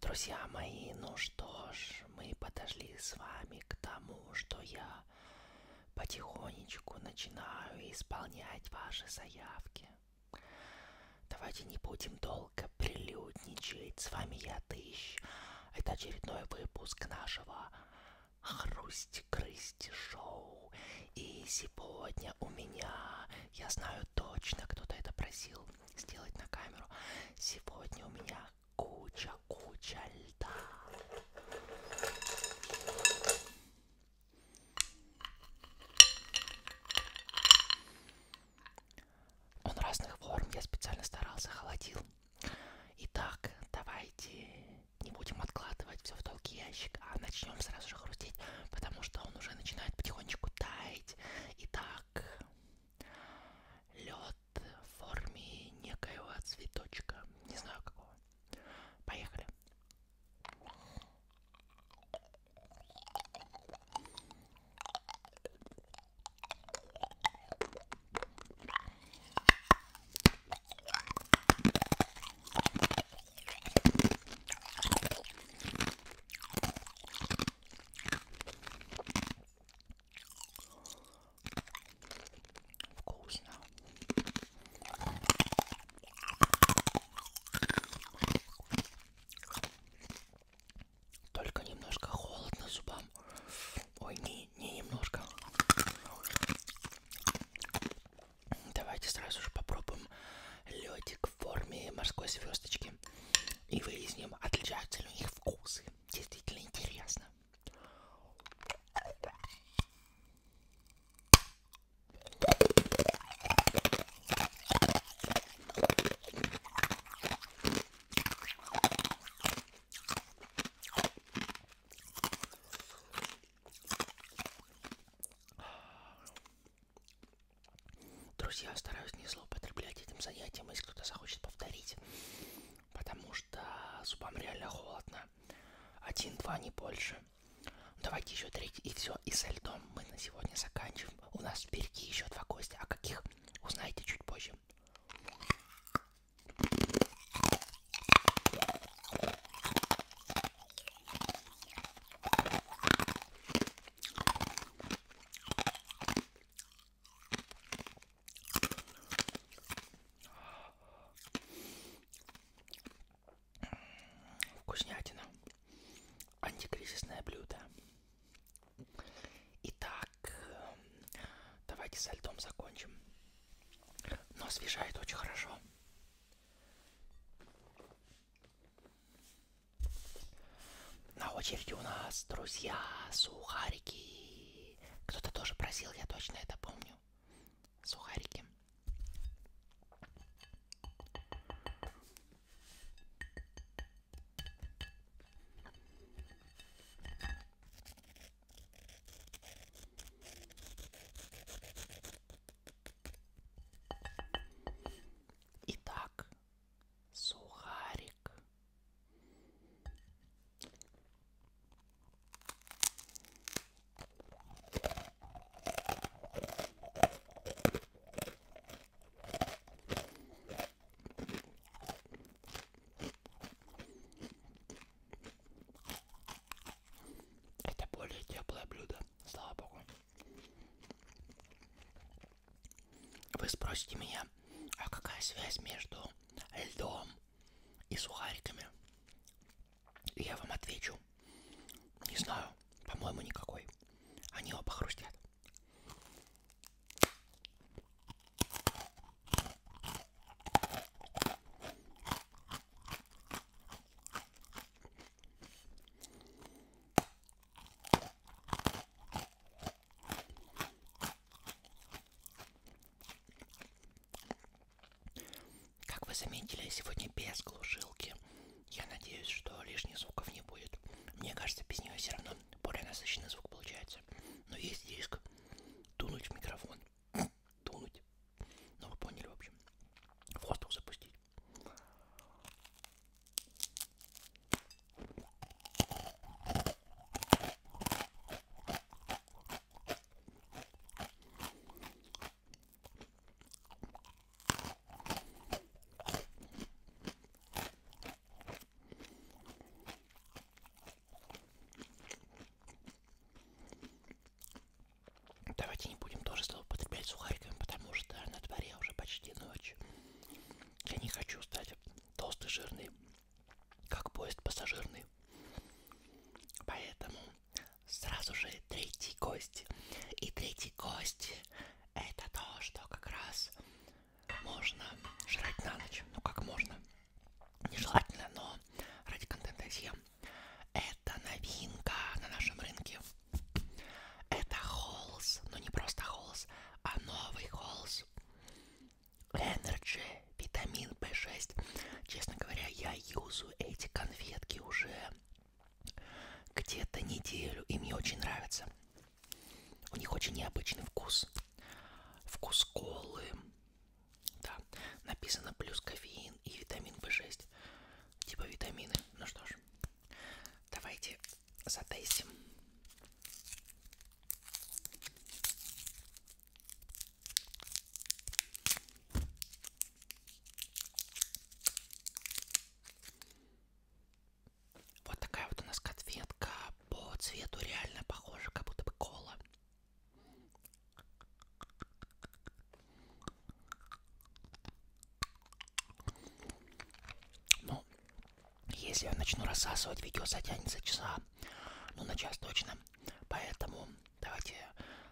Друзья мои, ну что ж, мы подошли с вами к тому, что я потихонечку начинаю исполнять ваши заявки. Давайте не будем долго прилюдничать. С вами я, Тыщ. Это очередной выпуск нашего Хрусть-крысть-шоу. И сегодня у меня, я знаю точно, кто-то это просил, хотел сделать на камеру. Сегодня у меня куча-куча льда. Он разных форм, я специально старался, холодил. Итак, давайте не будем откладывать все в долгий ящик, а начнем сразу же хрустеть, потому что он уже начинает потихонечку таять. И да, так. Лед в форме некоего цветочка. Не знаю какого. Поехали. Вкусно. Только немножко холодно зубам. Ой, не, не немножко. Давайте сразу же попробуем ледик в форме морской звездочки. И выясним, отличаются ли у них вкусы. Действительно интересно. Друзья, стараюсь не злоупотреблять этим занятием, если кто-то захочет повторить. Потому что зубам реально холодно. Один-два, не больше. Давайте еще третий, и все. И со льдом мы на сегодня заканчиваем. У нас впереди еще два гостя. А каких, узнаете чуть позже. Вкуснятина. Антикризисное блюдо. Итак, давайте со льдом закончим. Но освежает очень хорошо. На очереди у нас, друзья, сухарики. Кто-то тоже просил, я точно это помню. Сухарики. Итак, сухарик. Это более теплое блюдо, слава богу. Вы спросите меня, а какая связь между льдом и сухариками? И я вам отвечу. Не знаю, по-моему, никакой. Они оба хрустят. Как вы заметили, я сегодня без глушилки. Я надеюсь, что лишних звуков не будет. Мне кажется, без нее все равно более насыщенный звук получается. Но есть риск тунуть в микрофон. Тунуть. Ну, вы поняли, в общем. В хостел запустить. Давайте не будем тоже злоупотреблять сухариками, потому что на дворе уже почти ночь. Я не хочу стать толстый, жирный, как поезд пассажирный. Поэтому сразу же третий гость. И третий гость это то, что как раз можно жрать на ночь. Ну как можно. Нежелательно, но ради контента съем. Это новинка на нашем рынке. Это холс, но ну, не просто холс, а новый холс. Energy, витамин B6. Честно говоря, я юзу эти конфетки уже где-то неделю, и мне очень нравится. У них очень необычный вкус. Вкус колы. Да, написано плюс кофеин и витамин В6 типа витамины. Ну что ж, давайте затестим. Вот такая вот у нас конфетка по цвету реально похожа, как будто бы кола. Ну, если я начну рассасывать, видео затянется часа, ну, на час точно. Поэтому давайте,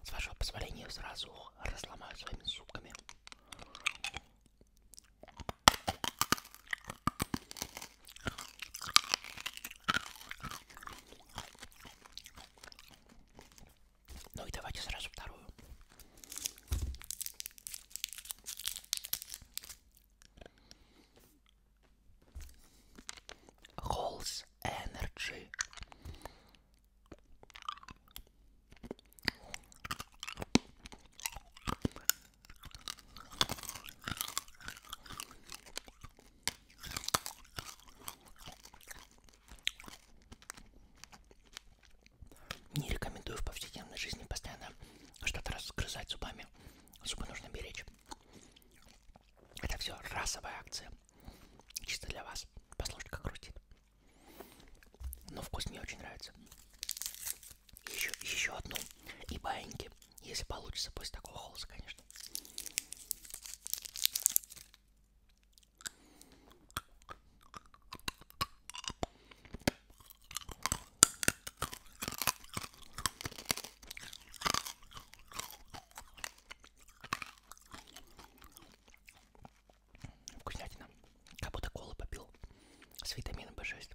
с вашего позволения, сразу разломаю своими зубками. Ну и давайте сразу вторую. Холс Energy. Не рекомендую в повседневной жизни постоянно что-то разгрызать зубами. Зубы нужно беречь. Это все расовая акция. Чисто для вас. Послушайте, как хрустит. Но вкус мне очень нравится. Еще, еще одну. И баиньки. Если получится, после такого холоса, конечно. Вкуснятина. Как будто колу попил с витамином B6.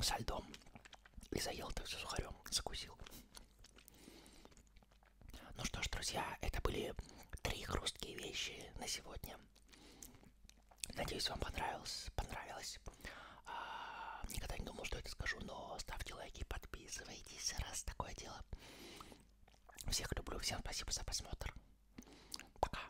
Со льдом. И заел это все сухарем. Закусил. Ну что ж, друзья, это были три хрусткие вещи на сегодня. Надеюсь, вам понравилось. понравилось. А, никогда не думал, что это скажу, но ставьте лайки, подписывайтесь, раз такое дело. Всех люблю, всем спасибо за просмотр. Пока.